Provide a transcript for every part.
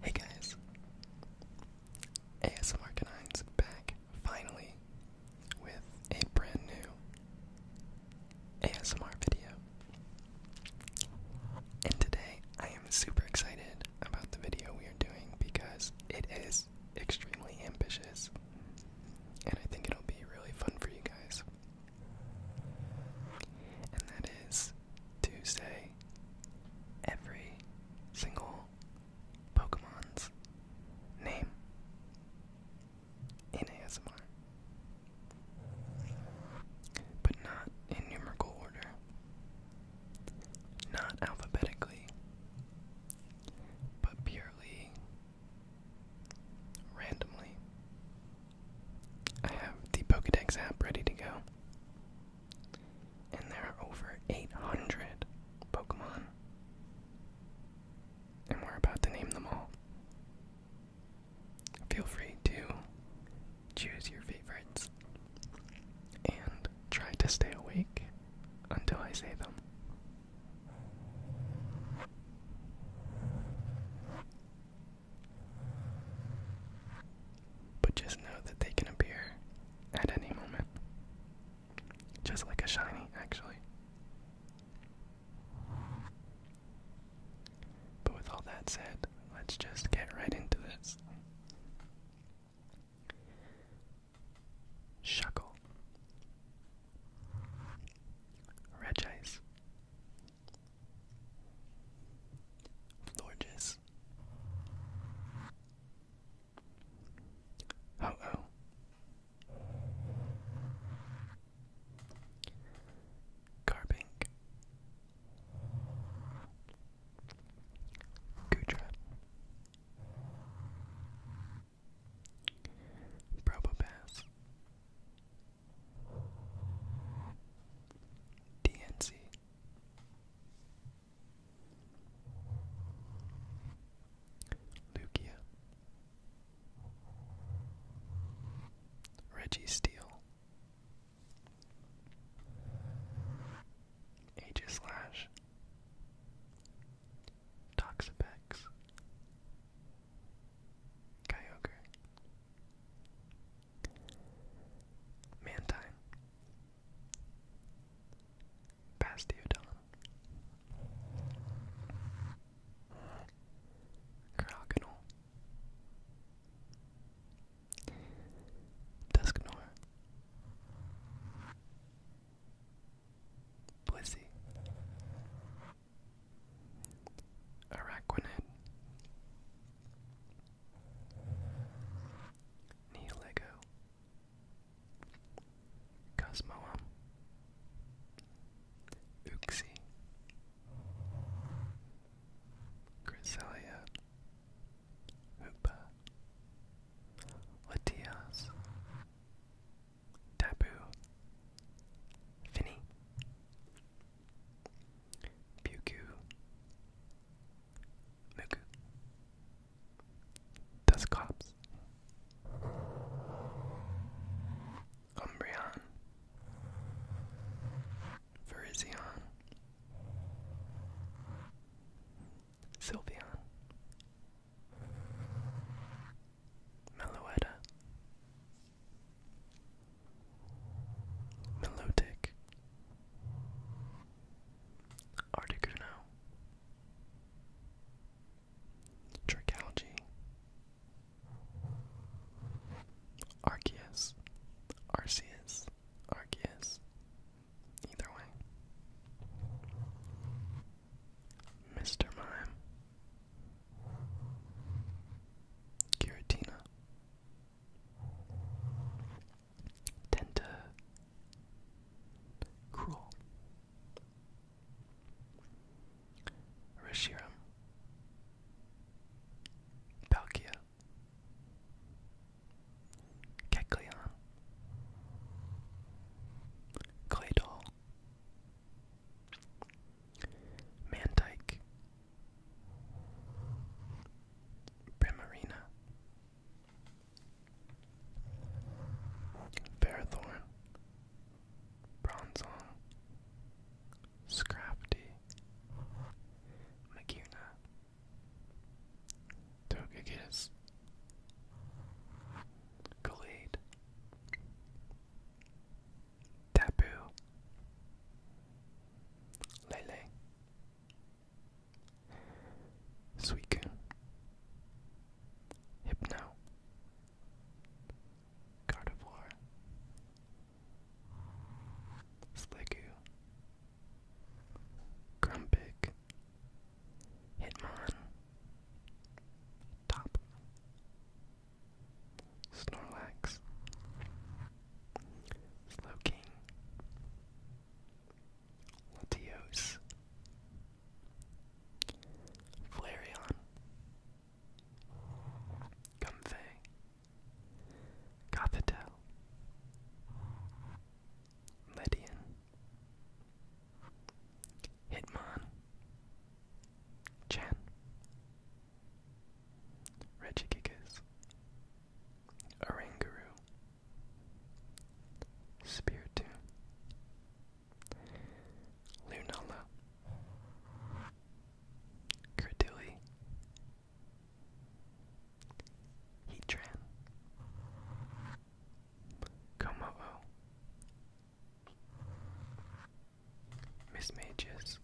Hey guys, ASMR Canine's back finally with a brand new ASMR video. And today I am super excited about the video we are doing because it is extremely ambitious and I think it'll be really fun for you guys. And that is to Tuesday, every single Pokemon's name in ASMR, but not in numerical order, not alphabetically, but purely randomly. I have the Pokedex app ready to go. And there are over 800 Pokemon. And we're about to name them all. Feel free to choose your favorites and try to stay awake until I say them but just know that they can appear at any moment. Just like a shiny, actually. But with all that said, let's just get right into this. Shuckle. Regice. Florges. Oh oh. Carbink. Gudra. Probopass. DNC. Lugia, Reggie Steele, Aegislash, Toxapex, Kyogre, Mantine. Bastiodon. Croconaw. Dusknor. Blissey. Araquanid. Neolego, Cosmoem, um, Uxie, Griselia, Hoopa, Latias, Taboo, Finny, Pyukyu, Muku, Duskops, Umbreon, Virizion, Sylveon, Meloetta, Melodic, Articuno, Tricalgy, Arceus, Arceus, Arceus, either way, Mr. Mime, Giratina tend to cruel. Rishiram, Palkia, Kecleon, Claydol, Mantike, Primarina, Ferrothorn, Bronzong, Scrafty, Magirna, Togekiss, Gallade, Tapu, Lele, Suicune, Hypno, Gardevoir, Sliggoo, Grumpig, Hitmon, Top, Snorlax, Slow King, Latios, Flareon, Comfey, Gothitelle, Lydian, Hitmon, Chen, Regigigas, Oranguru, Spiritu, Lunala, Credili, Heatran, Komo'o, Miss Mages,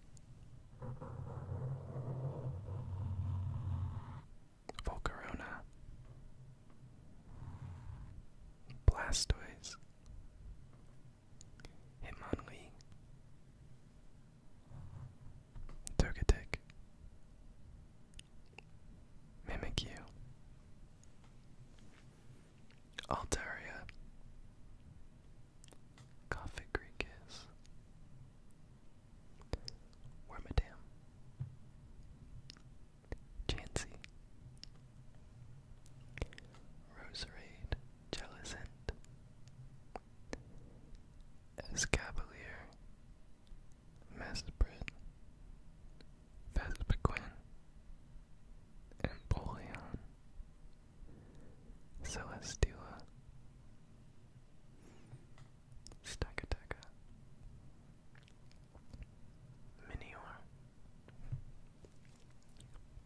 Volcarona, Blastoise, Hitmonlee, Togetic, Mimikyu, Altaria, Coffee or Madame Chancy, Roserade Jellicent, Escavalier, Mesprit, Vespaquin, Empoleon, Celestula, Stakateka, Minior,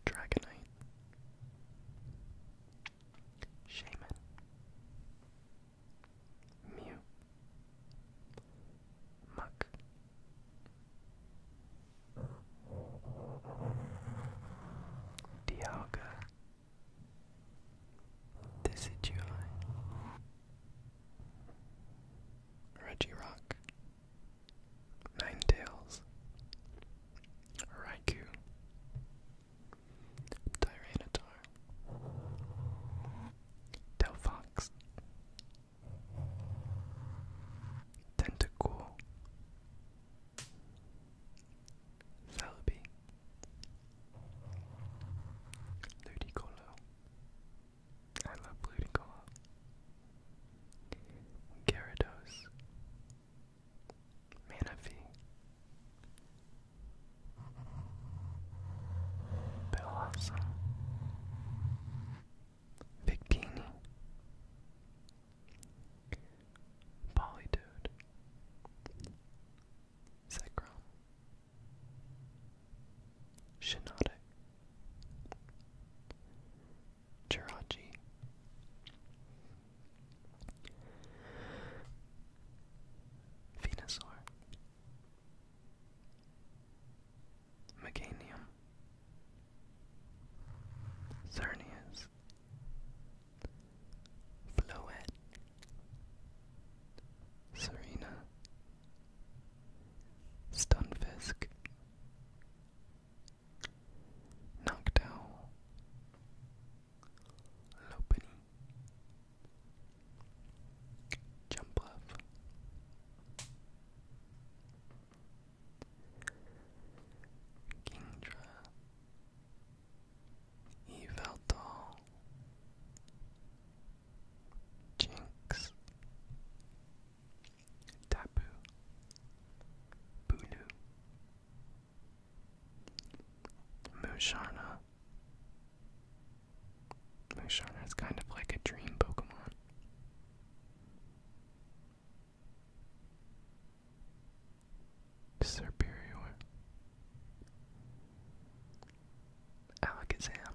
Dragonite, Shaman, Mew, Muck. Dialga Decidueye Regirock Ninetales Raikou Tyranitar Delphox Tentacool Celebi Ludicolo. I love Ludicolo. Gyarados. Manaphy. Bellhawson. Victini. Polydude sacrum, shenotic, chirachi. Venusaur Meganium Xerneas Floette, Serena, Stunfisk, Noctowl, Lopunny, Jumpluff, Kingdra. Yveltal Jinx Tapu Bulu Musharna Musharna is kind of like a dream Pokemon. Superior Alakazam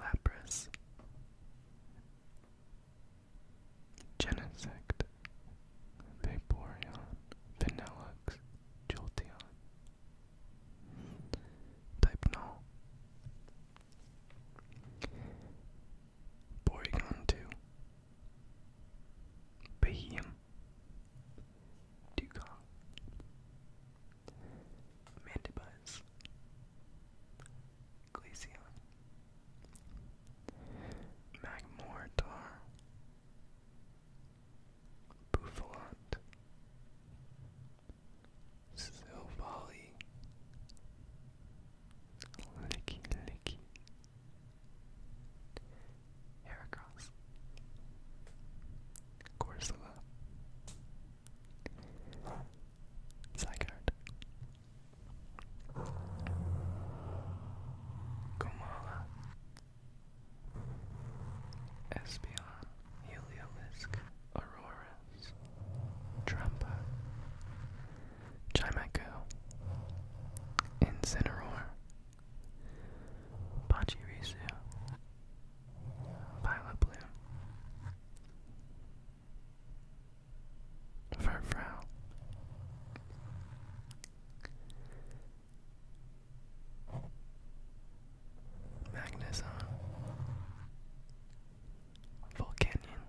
Lapras Genesect Vaporeon Vanellux Jolteon Type Porygon 2 Bahiem, Dugong, Mandibuzz, Glaceon, Magmortar, Buffalot, Silvally, Licky Mickey. Heracross. Corsola. Zygarde. Gomala. Espeon. Heliolisk. Auroras. Trampa. Chimaco, Incineroar, Pachirisu, Pilabloom, Furfrow, Magnezone, Volcanion,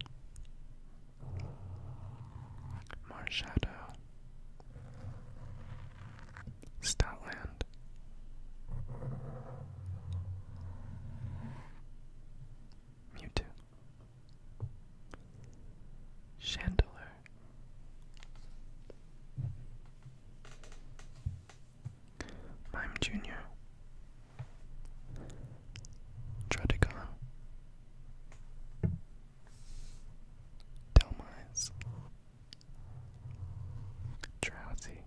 more shadow. Statland. Mewtwo. Chandelure. Mime Junior. Tredegon. Delmise, drowsy.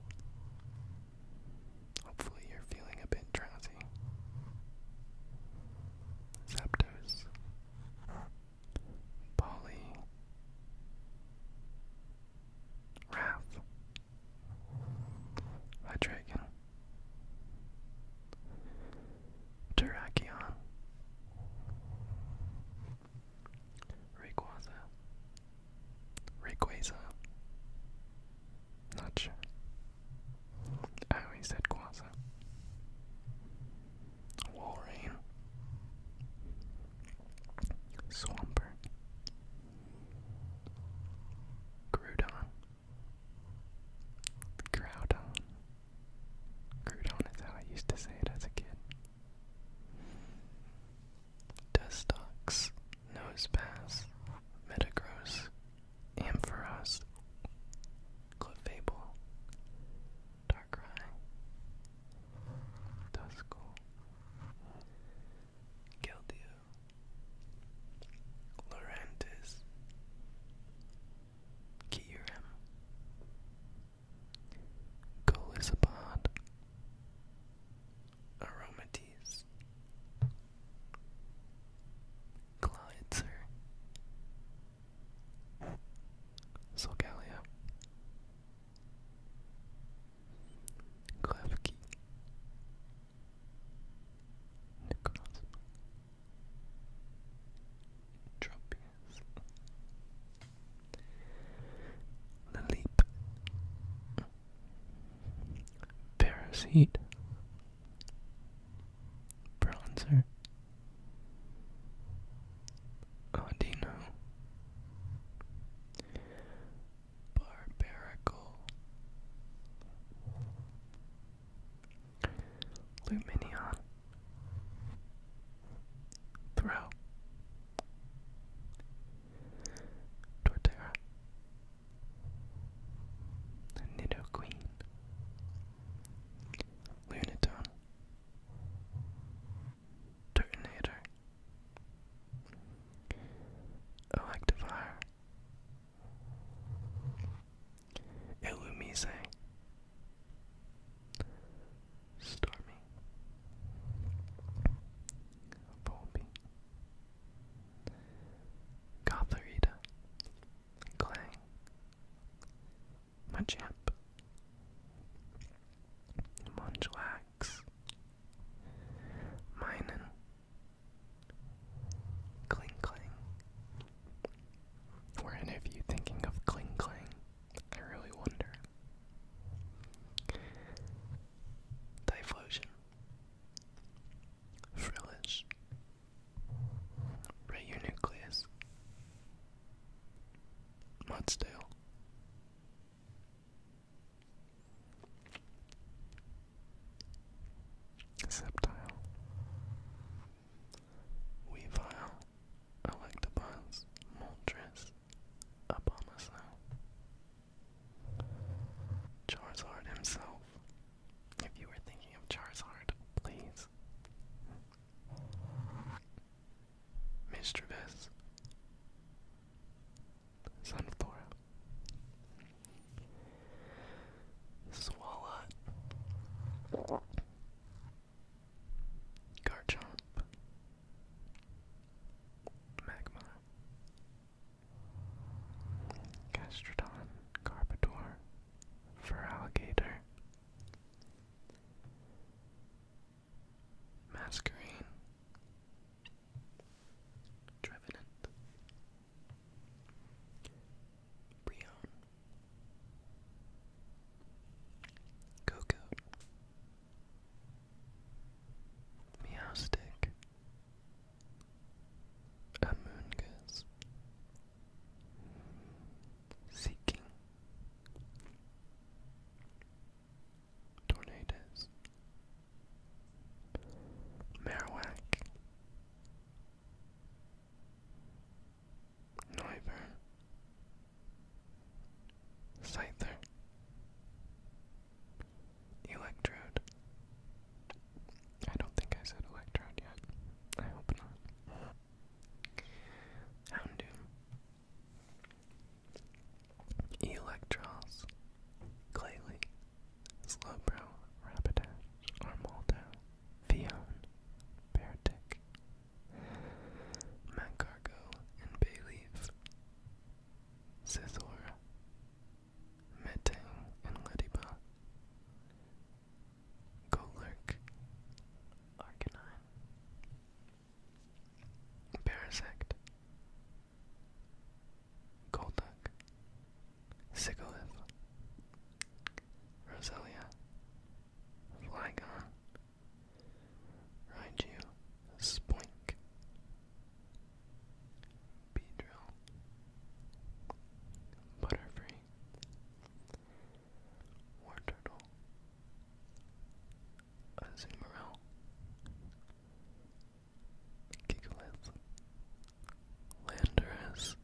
Hopefully, you're feeling a bit drowsy. Zapdos, Polly, Wrath, Hydreigon, Terrakion, Rayquaza, Rayquaza, not sure. I always said Quaza. Walrein, Swampert, Groudon. Groudon. Groudon is how I used to say it as a kid. Dustox, Nosepass, Metagross, Ampharos, Clefable, Darkrai, Duskull, Keldeo, Lurantis, Kyurem, um, Golisopod, Aromatis, Glitzer, Solgalia, Klefki, Tropius. Laleep. Parasite. Bronzer. Audino. Barbarical. Luminion. Throw. Torterra. Nidoqueen. Lunatone. Turtonator. Electivire. Illumise Stormy Bobby Gotharita Clang Machamp Munchlax Minen Cling Clang were any of you thinking of Kling I really wonder. Typhlosion. Frillish. Radionucleus. Mudsdale. Septile. Weavile, Electabuzz, Moltres, Abomasnow. Charizard himself. If you were thinking of Charizard, please. Mischievous. Sunflora. Swalot. Garchomp. Magma. Gastrodon. Carpador. Feraligator. Masquerine. Trevenant. Brion, Coco, Meowstic, Amoongus, Seeking, Tornadoes, Marowak, Neuber Scyther Electrode I don't think I said electrode yet. I hope not. Houndoom Electros Glalie Slowbro Rapidash Armaldo Fionn, Baratek, Macargo and Bayleaf, Scizor, Metang and Lediba, Golurk, Arcanine, Parasect, Golduck, Sigilith, Roselia, Flygon, Raichu, Spoink, Beedrill, Butterfree, War Turtle, Azumarill, Gigalith, Landorus,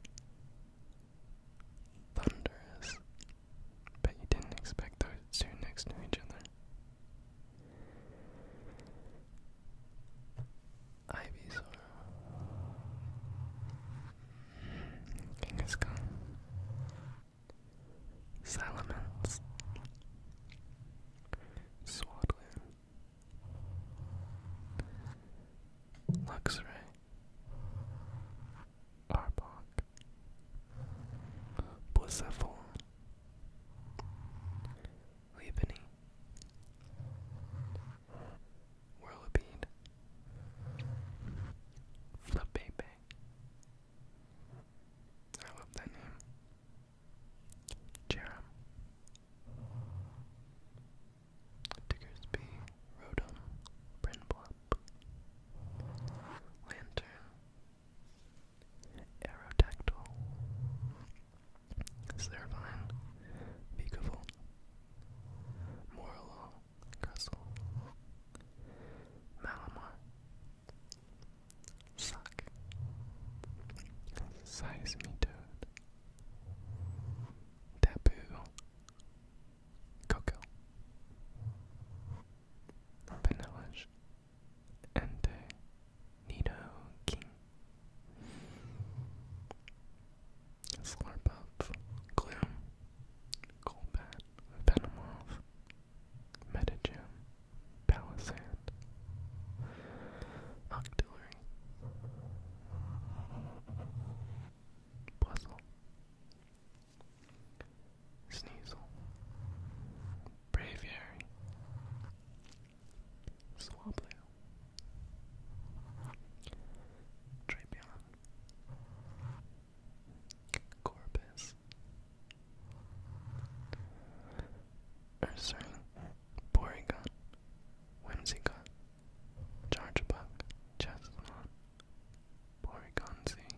Thunderous. but you didn't expect those two next to each other. Ivysaur. Kangaskhan. Salamence. Swaddling. Luxray. Arbok, Boisevol, Leaveny, Whirlipede, Flapepe. I love that name. Jerem, Diggersby, Rodon, Brinblop, Lantern, Aerodactyl, Servine, Vigavolt, Morlo, Crustle, Malamar, Sock, Seismitoad, Taboo, Coco, vanilla, and Nido King. Slurp up, Gloom, Golbat, Venomoth, Metagym, Palisand, Octillery. Buzzle, Sneasel, Braviary, Swablu, Drapion, Corpus, Ursaring, Porygon, Whimsicott, Chargebuck, Chestnut, Porygonzi.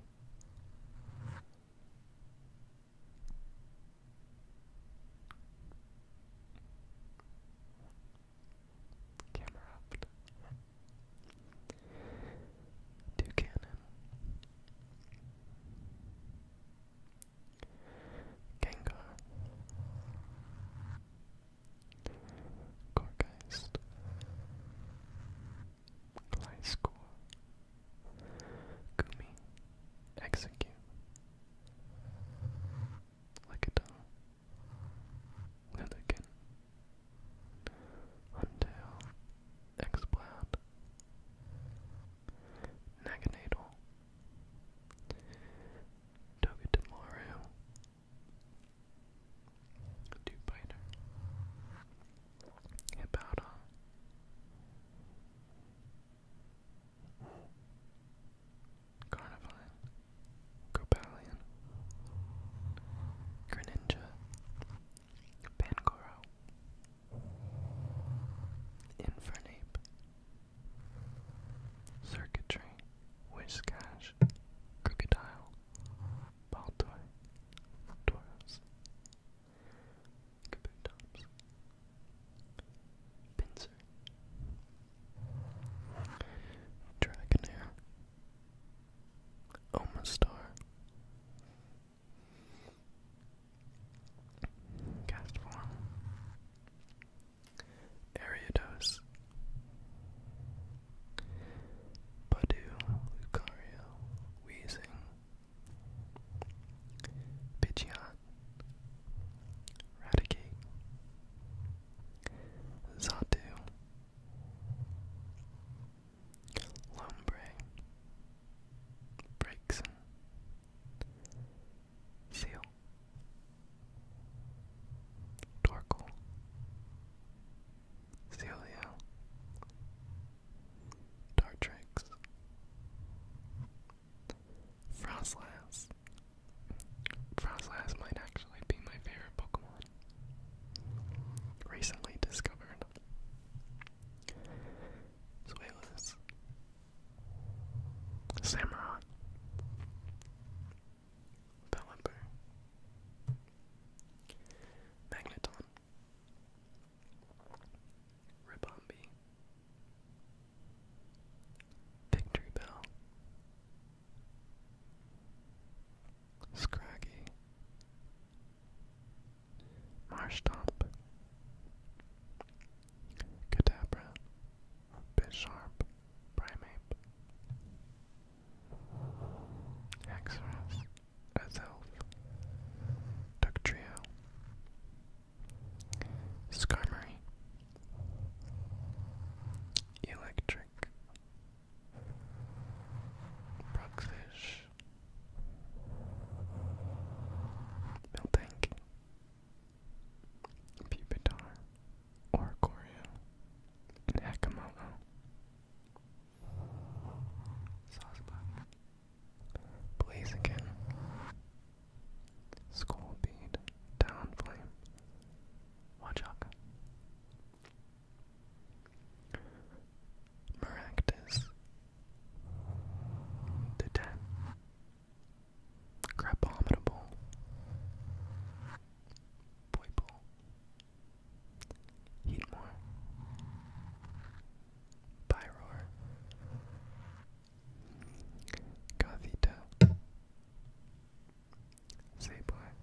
Camera up. cannon. Gengar. Gorgeist, Gliscor, Gumi, Execute, Lickitung, Lilligan, Untail, Exploud, Naganadal, Togekimaru, Two biter. Carnivine, Gropalion, Greninja, Pangoro, Infernape, Circuitry, Whiscash, Crocodile, Baltoy, Tauros, Kabutops, Pinsir, Dragonair, Omastar, Castform, Ariados, Badu, Lucario, Weezing, Pidgeot, Raticate, Zatu, Lombre, Breakson, Seal, Torkoal, Celio, Dartrix, Frostlass. Frostlass might actually be my favorite Pokemon. Recently discovered. Swalus. Samurott. Pelipper, Magneton, Ribombi, Victory Scraggy, Marsh Top, Cadabra, Bisharp, Primeape, Haxorus, Azelf, Ductrio, Skarmory, Electric, Proxfish, Miltank, Pupitar, Oricorio, and Hakamoto. Sosbot. Blaziken. Downflame. Wachaka. Maractus. Detent. Crabominable. Poiple, Heatmore, Pyroar, Gothita, Sableye,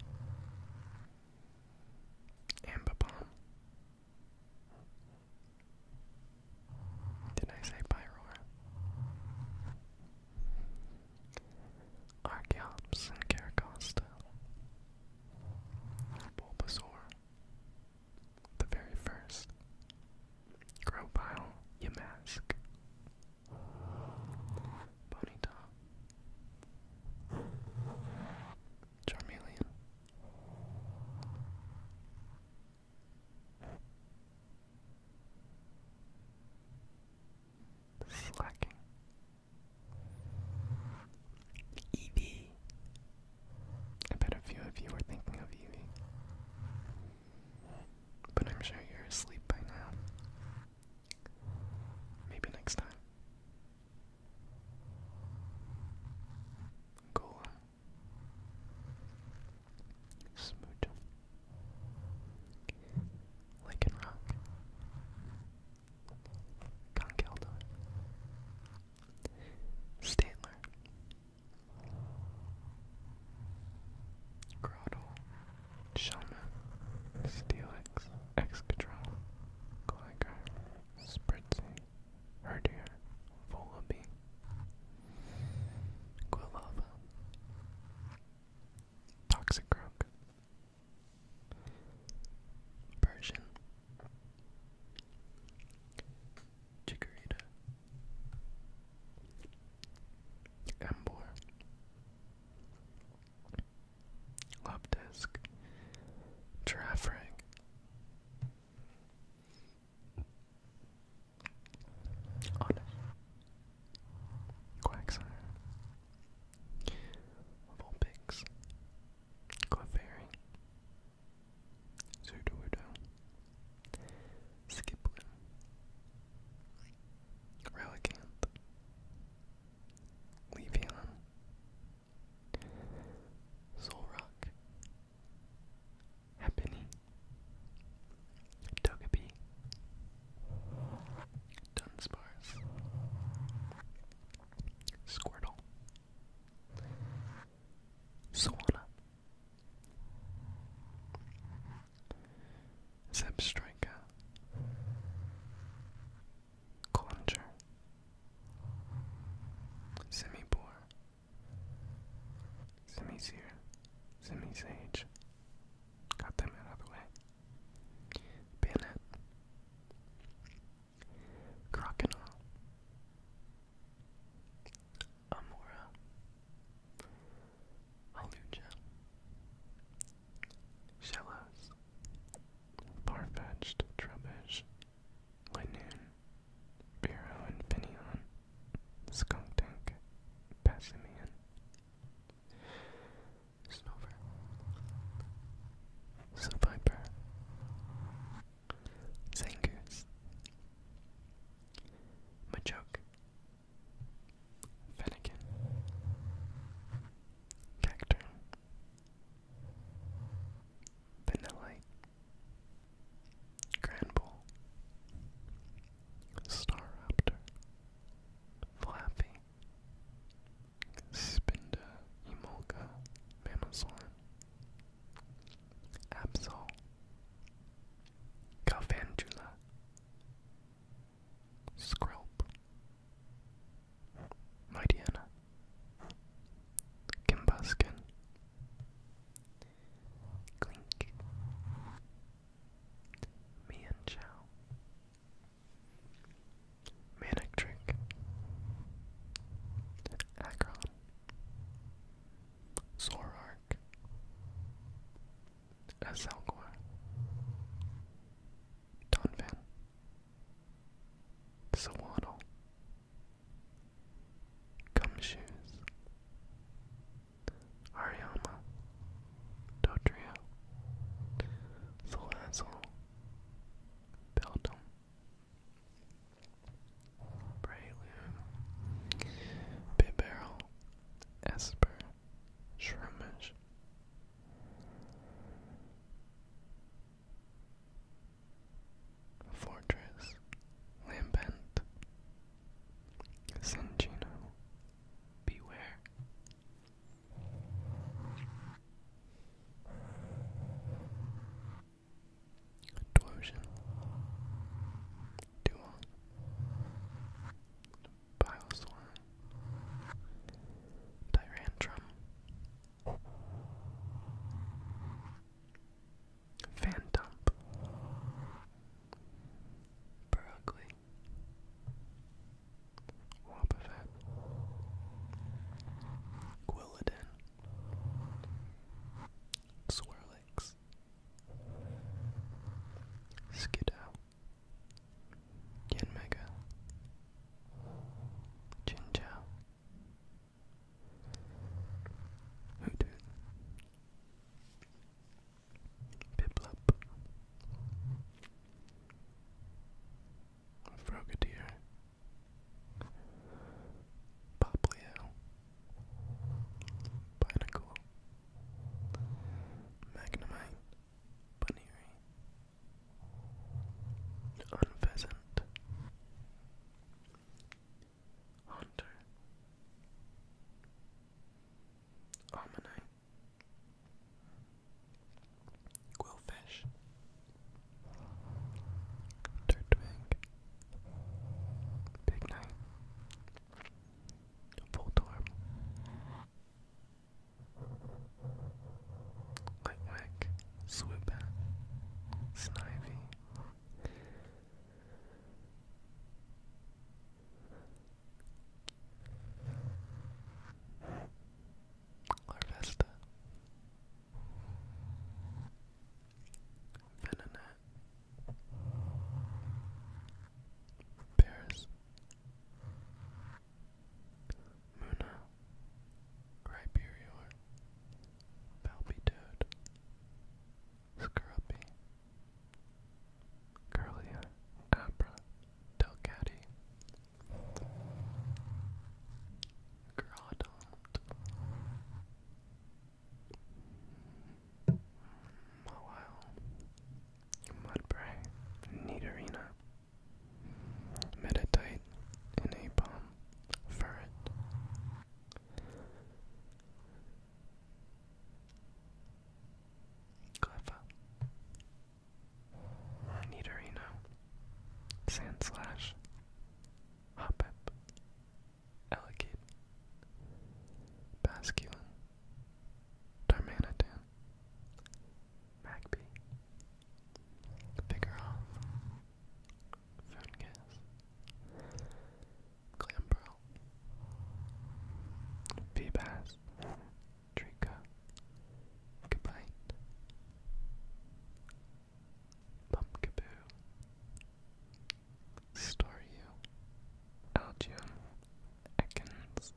Ambipom. Did I say Pyroar? Archeops and Caracosta. Bulbasaur. The very first. Gropile, Yamask. Bonita. Charmeleon. Slacking. Eevee. I bet a few of you are thinking of Eevee. But I'm sure you're asleep by now. Maybe next time. Golem. Smooch. Lincoln Rock, Conkeldor, Stantler, Grottle, Shaman, Steelix, Excadron, Gligar, Spritzy, Herdier, Volibee, Quilava, Toxic Rock, Persian, Chikorita, Ambor, Lobdesk, Giraffe Honest, Quagsire. Of all pigs. Clefairy. Relicanth. Levion. Solrock. Happiny. Togepi. Dunsparce, Squirtle, Swanna, Zebstrika, Clunger, Semi-Bore, Semi-Seer, Semi-Sage. Got them out of the way. Bennett, Crocodile, Amora, Aluja, Shellos, Farfetched Trubbish, Linoon, Bureau and Pinion, Skunk Tank, Passimian, Snover. Sviper. Zangoose. Machoke. Fennekin. Cacturn. Vanillite. Granbull. Staraptor. Flappy. Spinda, Emolga, Mamoslan, Absol, Galvantula, Skrelp, Mightyena, Kimbaskin, Clink, Mian Manic Trick, Akron, Zorark, Donphan, Sawaddle, Gumshoes, Ariama, Dodrio, Salazzle, Beldum, Prelude, Bibarrel, Esper, Shroomish. Fortress, Lambent, Sinchino, Beware, Torsion, Duon, Bioswarm, Tyrantrum, Phantom, Berkeley, Wobbuffet, Quilladin, Swirlix, Skiddow, Genmega, Chinchou, Hootoo, Piplup, Frogadier, Poplio, Pinacle, Magnemite, Bunnery, Unpheasant, Hunter, Almanite, Quillfish, Turtwig, Big Knight, Voltorb, Litwick, Swoopat, Snivy. Or Vesta. Venonet. Muna. Riberior. Palpitoad. Scrubby. Curlia, Abra, Delcatty, Groudon, Mawile, Mudbray, Nidorina, Meditite, Inapom, Ferret. Cleffa. Nidorino. Sandslash. Hoppip. Elegate. Basculin. Darmanitan. Magby. Figuroff. Fungus. Clambrel. Feebas. Trinka, Kabite, Pumpkaboo, Storyu, Algium, Ekans,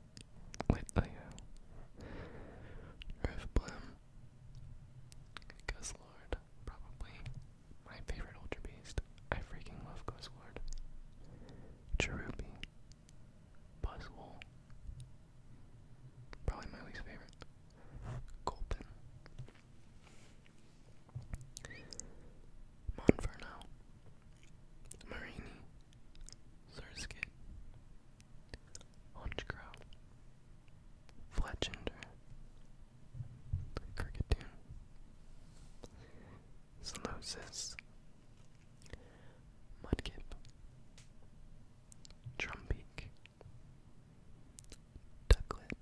Litleo, Riftbloom, Guzzlord, probably my favorite Ultra I freaking love Guzzlord. Cherubi, Buzzwole. Probably my least favorite. Colpin. Monferno. Marini. Surskit. Hunchcrow. Fletchender. Cricketune. Seleucus, Mudkip, Drumbeak, Ducklet,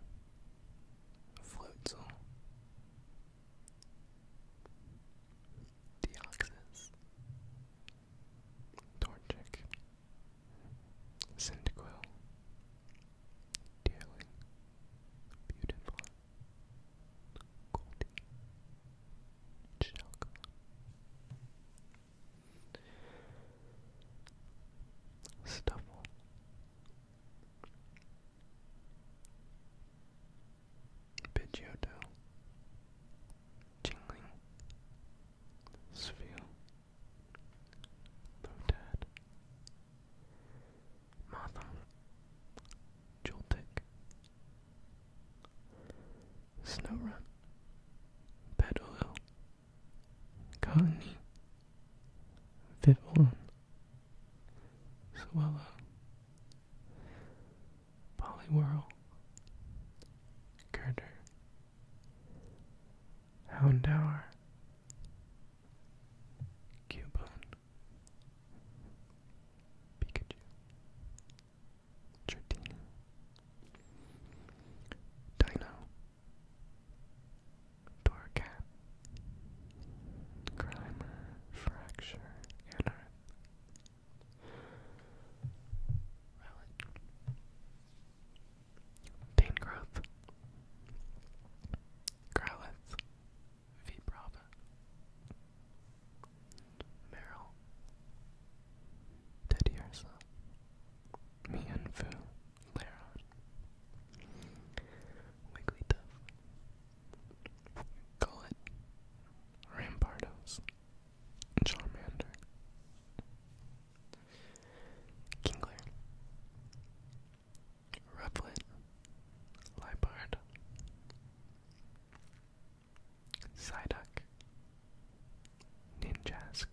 Floatzel, Deoxys, Torchic, Cyndaquil, Dearling, Beautiful, Golden chakra. Stuffle. Pidgeotto. Jingling. Sphere. Lotad. Motham. Joltik, Snowrun, Bedolil, Cottony, Vivillon, Swallow, Poliwhirl, Girder, Houndour, Cubone, Pikachu, Jardina, Dino, Torcat, Grimer, Fracture, Anarth, Relic, Danegrowth, Growlithe, V. Brava, Meryl, Teddy Ursa, Mian Fu, Rampardos, Charmander, Kingler, Rufflet, Libard, Psyduck, Ninjask,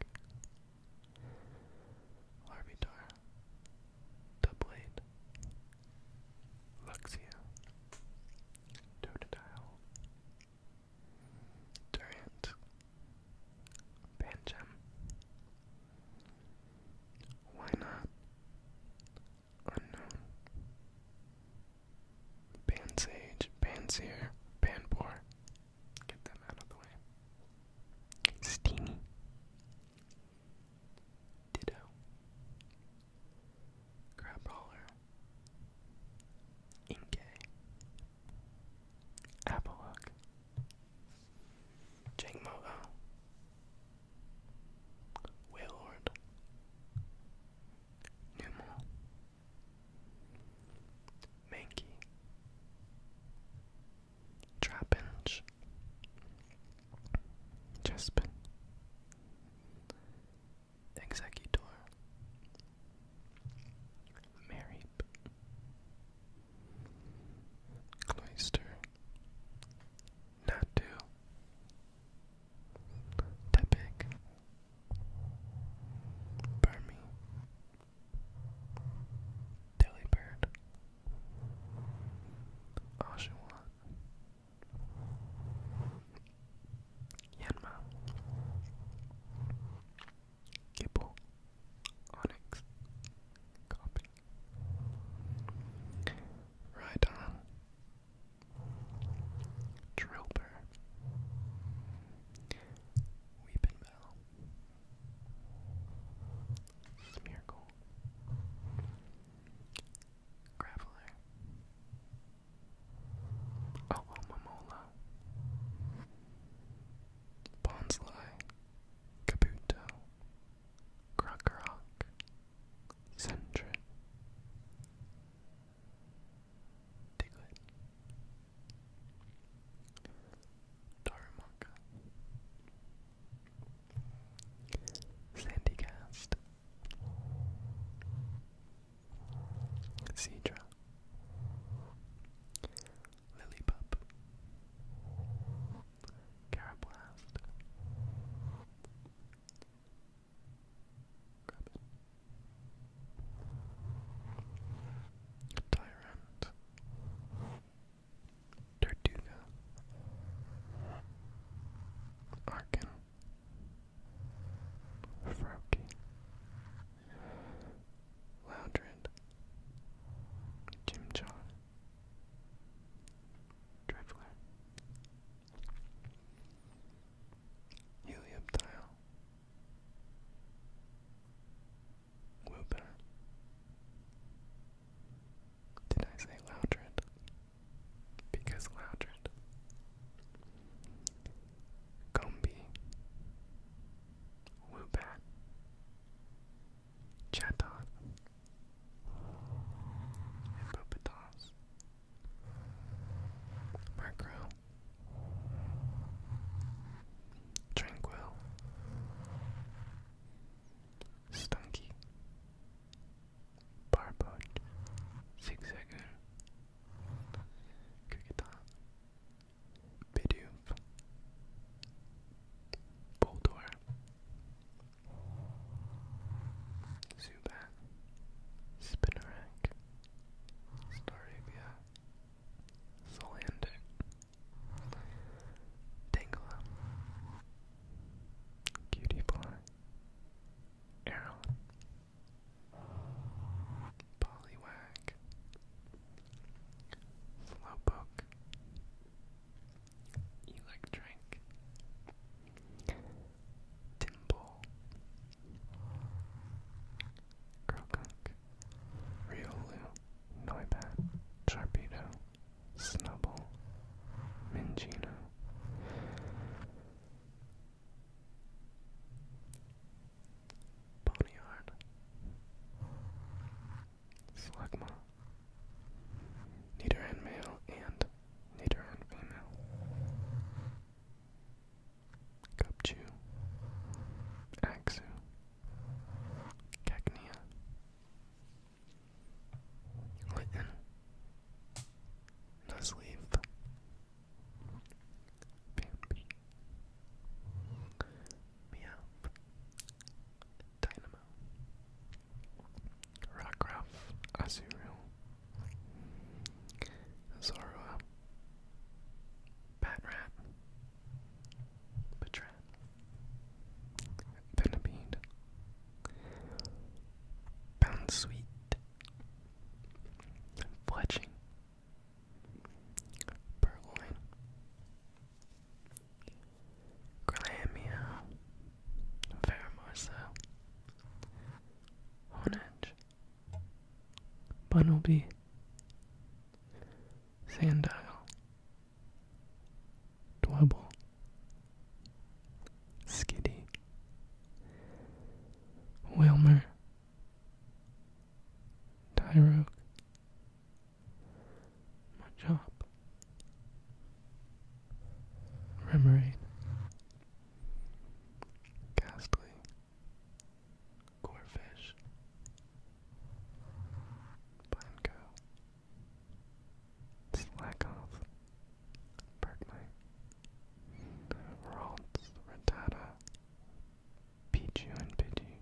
Larvitar, Dublade, Luxio, Totodile, Durant, Pancham, Why Not, Unknown. Pansage, Panseer, Panpour. Get them out of the way. Steamy. Ditto. Crab Inke. Apollock. Jangmo-o. Oh. Wailord. Numo, Mankey, Trapinch, Chespin, Executor, Marip, Cloister, Natu, Tepic, Burmy, Delibird, Oshawa, Yanma, Gibble, Onyx, Copy, Rhydon, Trooper, Weeping Smeargle, Graveler, Alomamola, Bonsly, Kabuto, Crockrock, Centric Diglett Darumaka Sandycast Cedra Lilypup Carablast Tyrant. Tortuga. Arkin. Froakie. Loudred. Jimjaw. Drifler. Helioptile, Whooper. Did I say Loudred? Because Loudred. Gumby, Woobat, Chatot, Hippopotas, Macro Tranquil Stunky Barbot Zigzagger Cricketon Bidoof Boldor Zubat, Spinarak, Staravia, Solandit, Tangela, Cutie Pie, Arrow, Slowpoke, Electric, Dimple, Crocook, Riolu, Noibat, Sharpedo, Snubble, Mingino. Ponyard, Slugma, Nidoran Male, and Neither and female. Gupchu. Axu. Cacnea. Litten. Nuzleaf. Bambi. Meowth. Dynamo. Rockruff. Azurill. Zorua, Batrat, Batrat, Venipede, Bounsweet, Fletching, Purloin, Glamia, Faramorsa, Honedge, Bunnelby, Sandile, Dwebble, Skiddy, Wilmer, Tyroke, Machop, Remoraid, Ghastly. Gorefish. Blanco. Slackoff. Berknight. Ralts. Rattata. Pichu and Pidgey.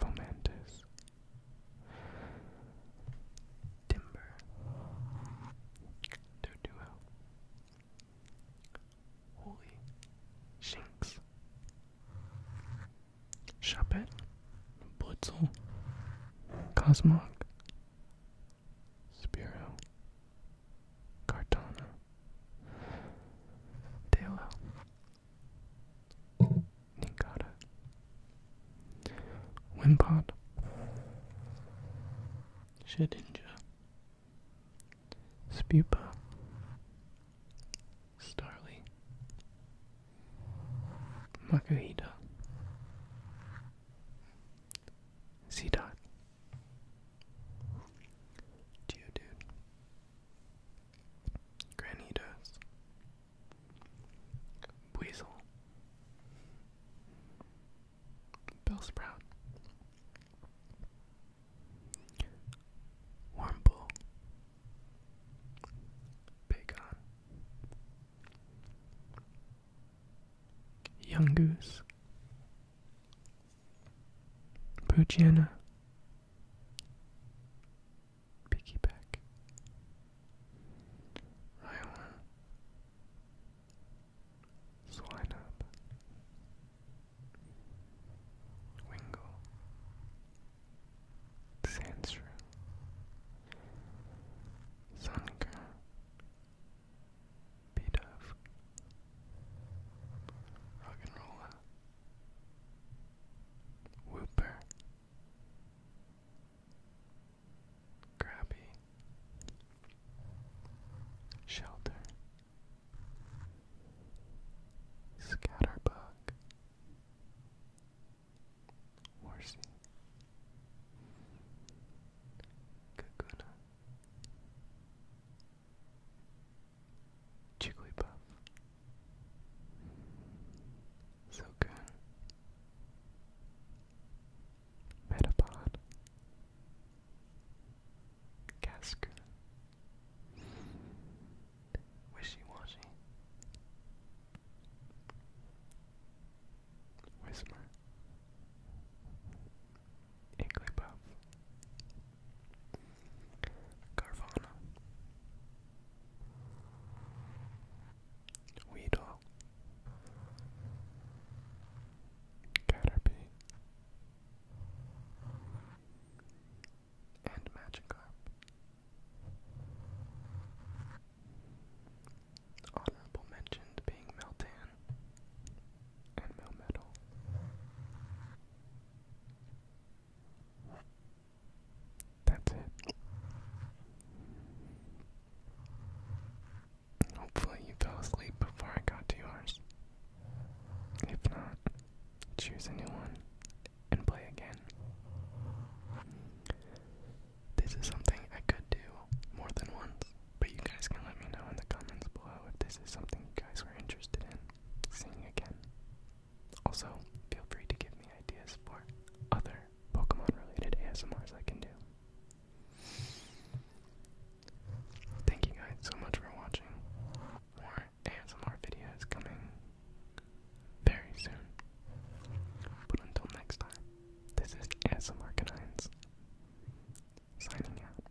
Fomantis. Timber. Doduo. Holy Shinx. Shuppet. Blitzel. Cosmog. Spiro. Cartana. Dalo. Ninkata. Wimpod, Shedinja, Spupa, Starly, Makuhita, dot Geodude, Granitos, Weasel, Bell sprout. Wormble. Bacon. Young goose. Poochiana. Piggyback. Rhyhorn. Swinub, Wingle, Sandshrew, Sunker, Beedove, Rock'n'Rolla, Whooper, Grabby Shelter Scatterbug Horsey Kakuna Jigglypuff Silcoon Metapod, Casca, Wishy Whismer, Inklypuff, Carvana, Weedle, well. Caterpie and Magikarp. Honorable mentioned being Meltan and Melmetal. That's it. Hopefully, you fell asleep before I got to yours. If not, choose a new one and play again. This is something I could do more than once, but you guys can let me know in the comments below if this is something you guys were interested in seeing again. Also, feel free to give me ideas for other Pokemon related ASMRs I can do. Thank you guys so much for watching. More ASMR videos coming very soon. But until next time, this is ASMR Canines signing out.